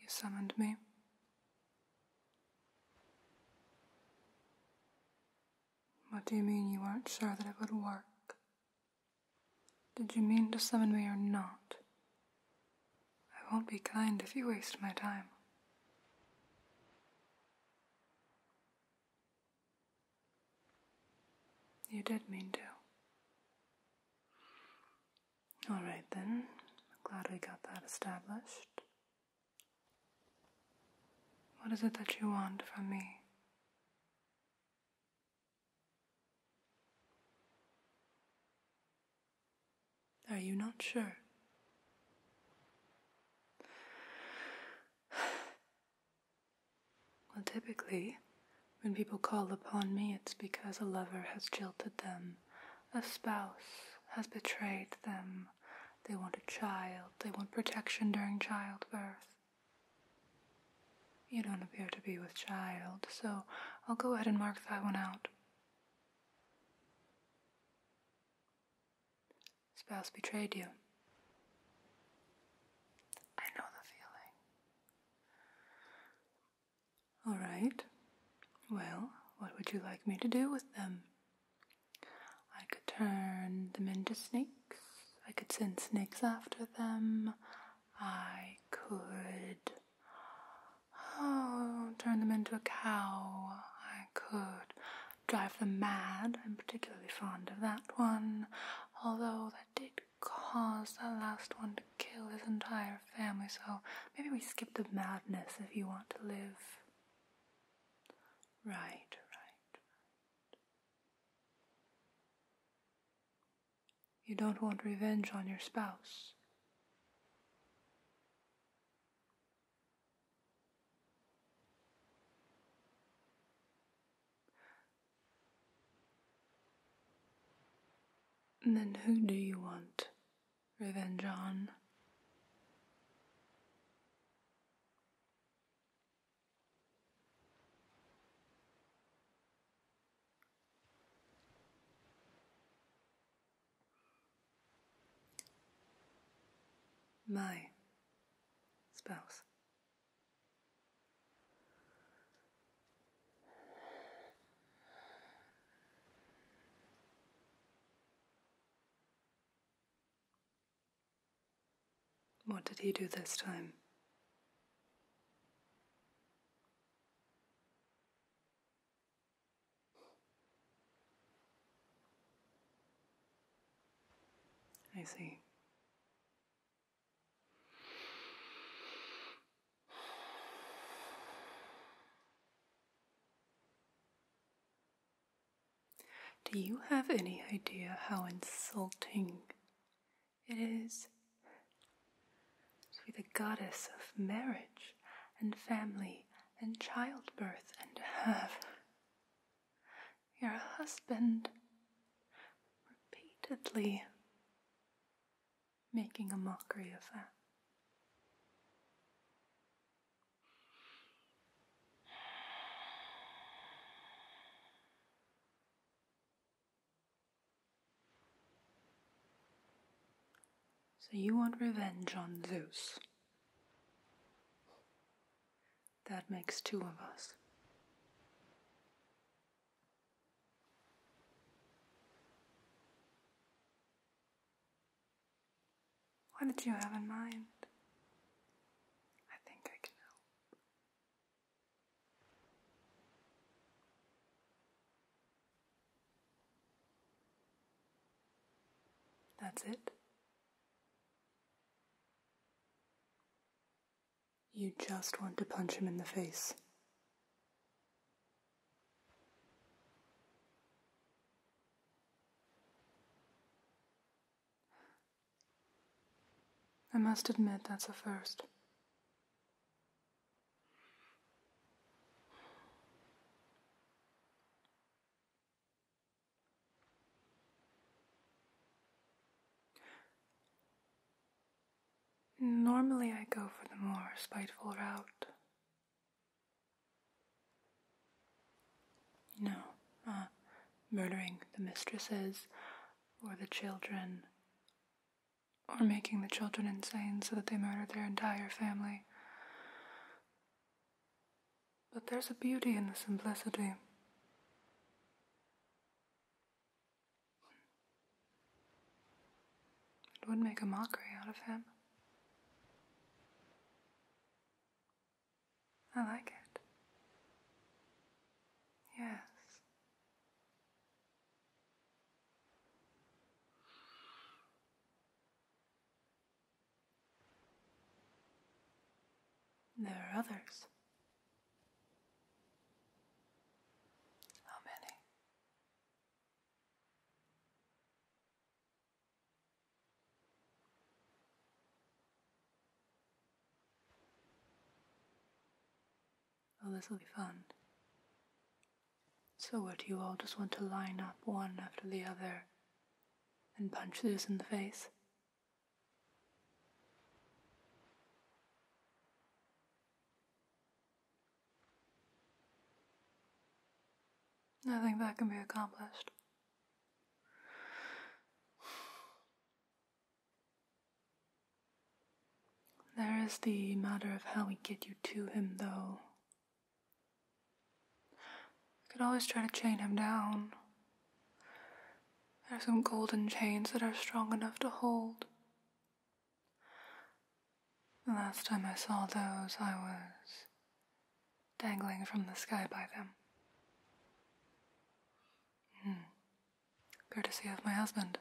You summoned me. What do you mean you weren't sure that it would work? Did you mean to summon me or not? I won't be kind if you waste my time. You did mean to. Alright then, glad we got that established. What is it that you want from me? Are you not sure? Well, typically, when people call upon me, it's because a lover has jilted them, a spouse has betrayed them, they want a child, they want protection during childbirth. You don't appear to be with child, so I'll go ahead and mark that one out. Spouse betrayed you. I know the feeling. All right. Well, what would you like me to do with them? I could turn them into snakes. I could send snakes after them. I could oh, turn them into a cow. I could drive them mad. I'm particularly fond of that one, although that did caused that last one to kill his entire family, so maybe we skip the madness if you want to live. Right, right. You don't want revenge on your spouse. And then who do you want revenge on? My spouse. What did he do this time? I see. Do you have any idea how insulting it is to be the goddess of marriage and family and childbirth and to have your husband repeatedly making a mockery of that. So you want revenge on Zeus. That makes two of us. What did you have in mind? I think I can help. That's it. You just want to punch him in the face. I must admit that's a first. Normally, I go for the more spiteful route. You know, uh, murdering the mistresses or the children, or making the children insane so that they murder their entire family. But there's a beauty in the simplicity. It would make a mockery out of him. I like it. Yes. There are others. How many? Well, oh, this will be fun. So, what do you all just want to line up one after the other and punch this in the face? Nothing that can be accomplished. There is the matter of how we get you to him, though. We could always try to chain him down, there are some golden chains that are strong enough to hold. The last time I saw those, I was dangling from the sky by them. Hmm. Courtesy of my husband.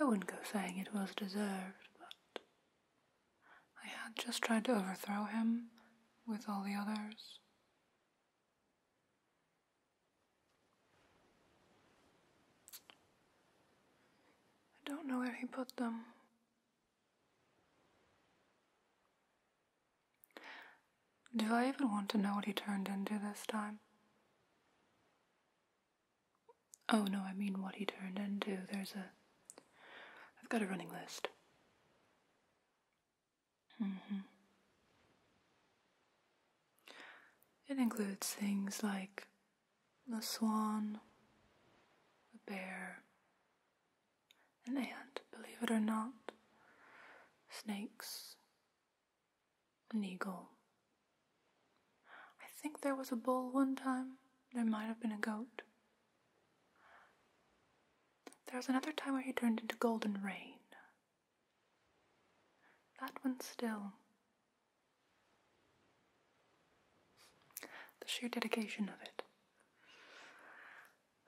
I wouldn't go saying it was deserved, but I had just tried to overthrow him with all the others, I don't know where he put them. Do I even want to know what he turned into this time? Oh no, I mean what he turned into. There's a. I've got a running list. Mm-hmm. It includes things like the swan, the bear, an ant, believe it or not, snakes, an eagle. I think there was a bull one time, there might have been a goat. There was another time where he turned into golden rain. That one still. The sheer dedication of it.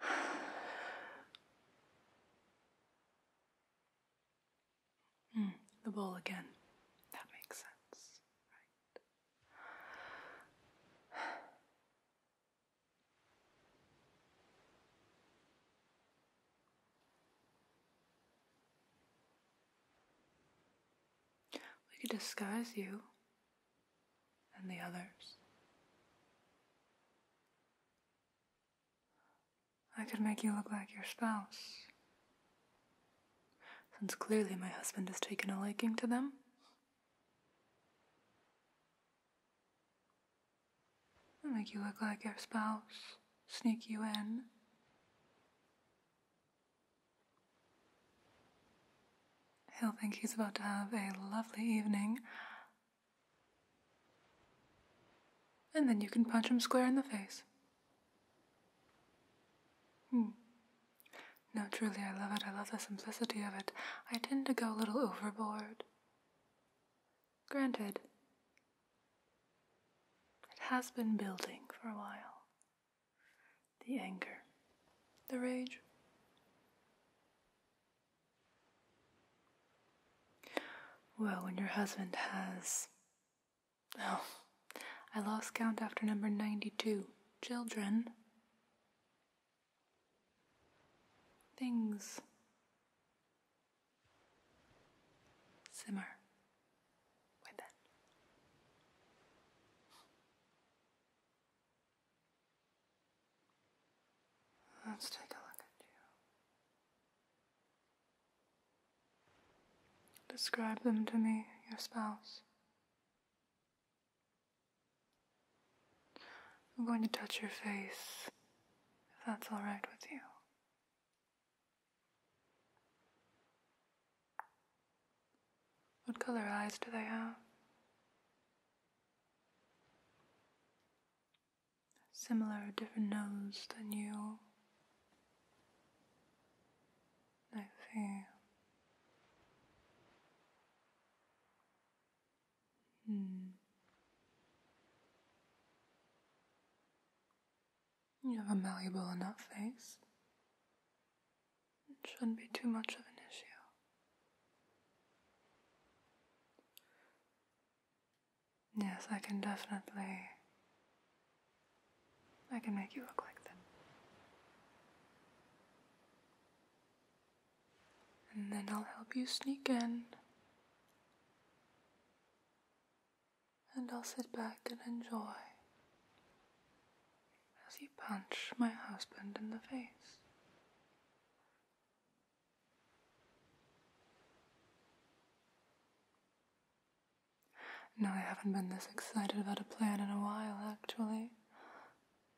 Hmm, the ball again. That makes sense, right? We could disguise you and the others. I could make you look like your spouse. Since clearly my husband has taken a liking to them make you look like your spouse, sneak you in. He'll think he's about to have a lovely evening. And then you can punch him square in the face. Hmm. No, truly, I love it. I love the simplicity of it. I tend to go a little overboard. Granted, it has been building for a while. The anger, the rage. Well, when your husband has. Oh, I lost count after number 92. Children. Things simmer with Let's take a look at you. Describe them to me, your spouse. I'm going to touch your face, if that's alright with you. What color eyes do they have? Similar, or different nose than you. I see. Hmm. You have a malleable enough face. It shouldn't be too much of an issue. Yes, I can definitely. I can make you look like them and then I'll help you sneak in. And I'll sit back and enjoy as you punch my husband in the face. No, I haven't been this excited about a plan in a while, actually.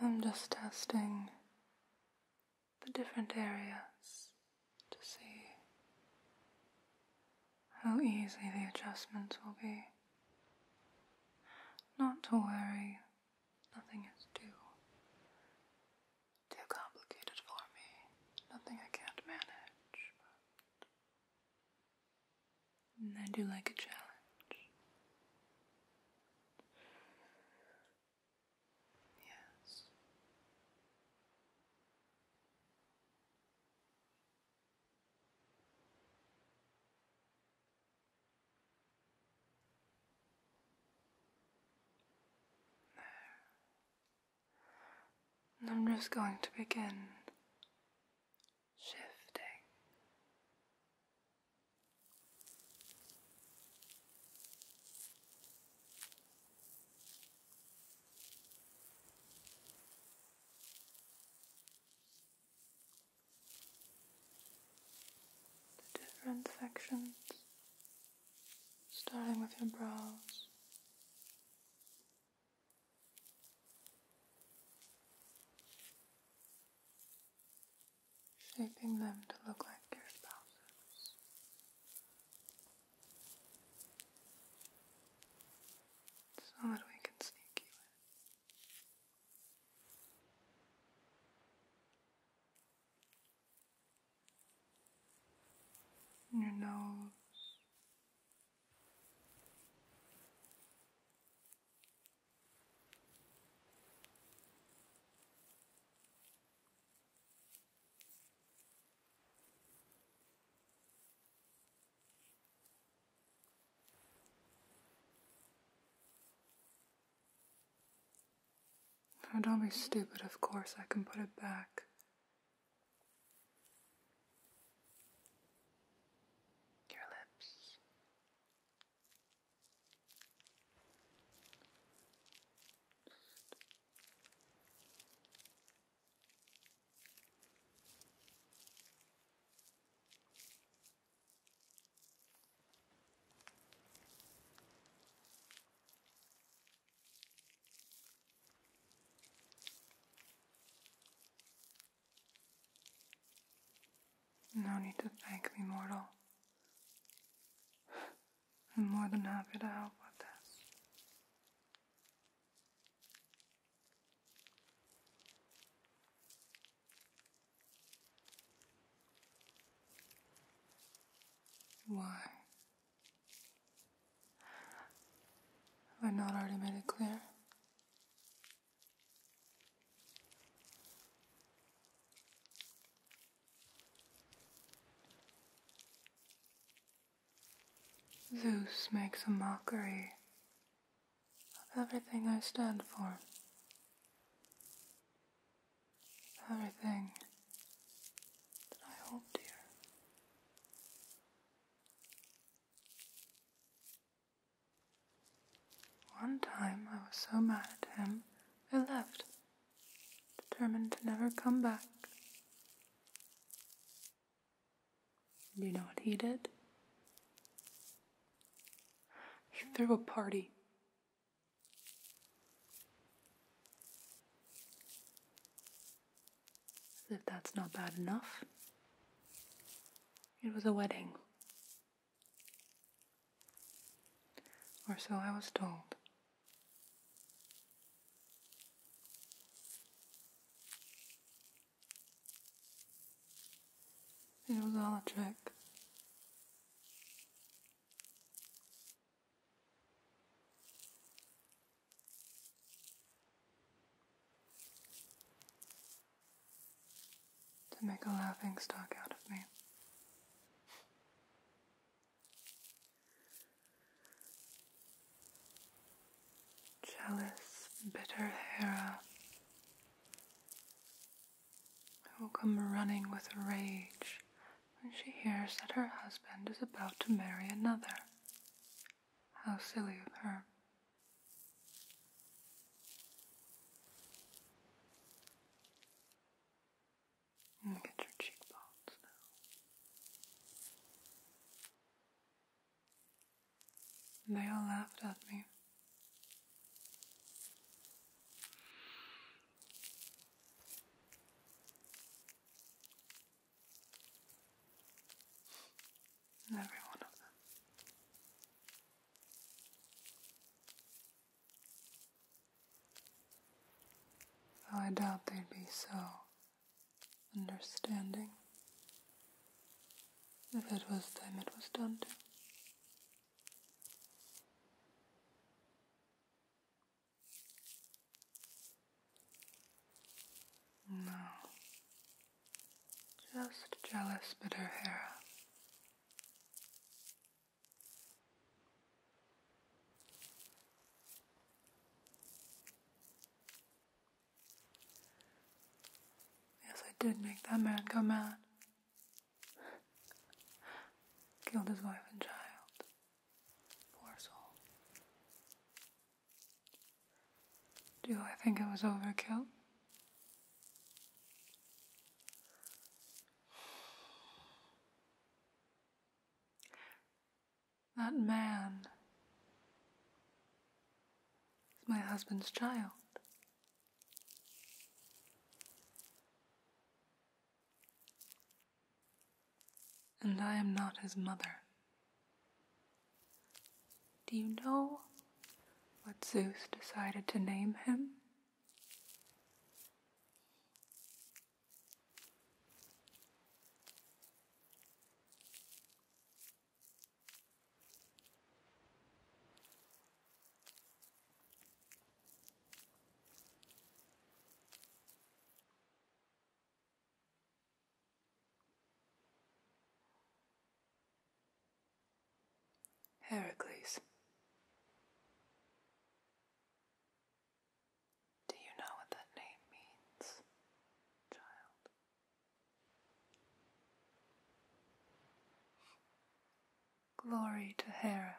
I'm just testing the different areas to see how easy the adjustments will be. Not to worry, nothing is too too complicated for me. Nothing I can't manage, and I do like a challenge. Yes. There. I'm just going to begin shifting. The different sections, starting with your brows, shaping them to look like your spouses. So that we can sneak you in. your nose don't be stupid, of course I can put it back your lips. No need to thank me, mortal. I'm more than happy to help with this. Why? Have I not already made it clear? Zeus makes a mockery of everything I stand for. Everything that I hold dear. One time I was so mad at him, I left, determined to never come back. Do you know what he did? He threw a party. if that's not bad enough. It was a wedding. Or so I was told. It was all a trick to make a laughing stock out of me. Jealous, bitter Hera will come running with rage when she hears that her husband is about to marry another. How silly of her. And get your cheekbones they all laughed at me every one of them. Though I doubt they'd be so understanding if it was them it was done to. No, just jealous bitter Hera. Yes, I did make that man go mad. Killed his wife and child. Poor soul. Do I think it was overkill? That man is my husband's child. And I am not his mother. Do you know what Zeus decided to name him? Heracles. Do you know what that name means, child? Glory to Hera.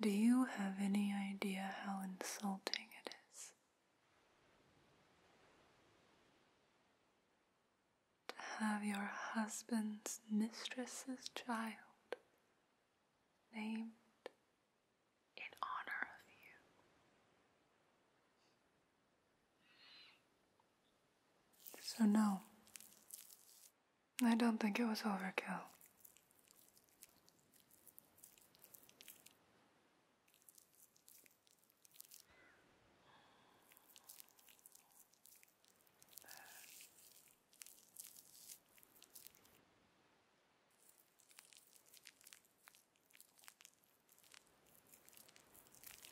Do you have any idea how insulting it is? To have your husband's mistress's child named in honor of you. So, no, I don't think it was overkill.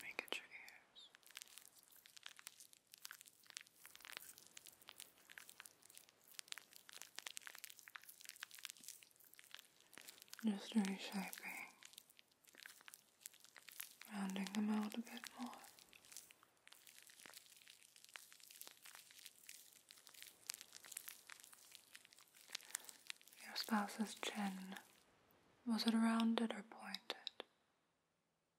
Make it your ears. Just reshaping, rounding them out a bit more. Your spouse's chin, was it rounded or pointed?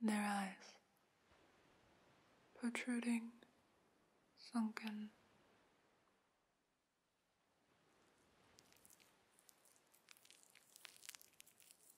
Their eyes protruding, sunken.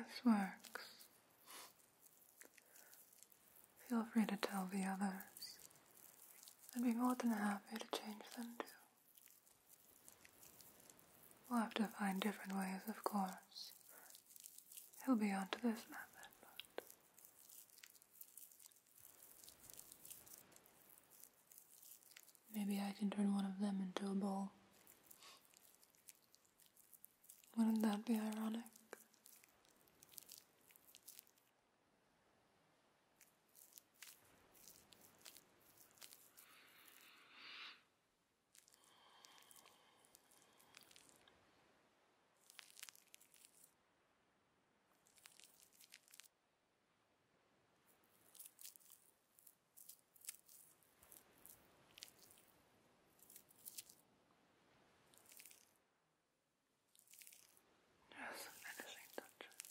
If this works, feel free to tell the others. I'd be more than happy to change them too. We'll have to find different ways, of course. He'll be onto this method, but... Maybe I can turn one of them into a ball. Wouldn't that be ironic? Just finishing touches.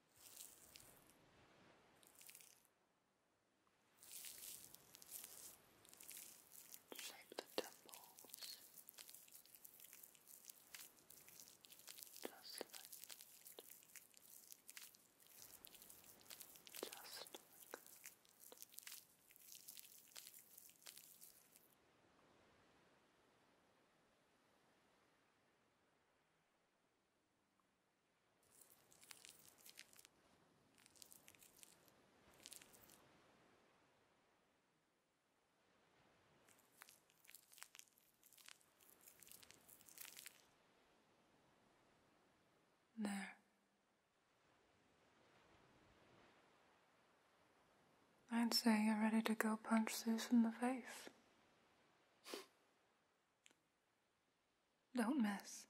Shape the temples just like Just there. I'd say you're ready to go punch Zeus in the face. Don't miss.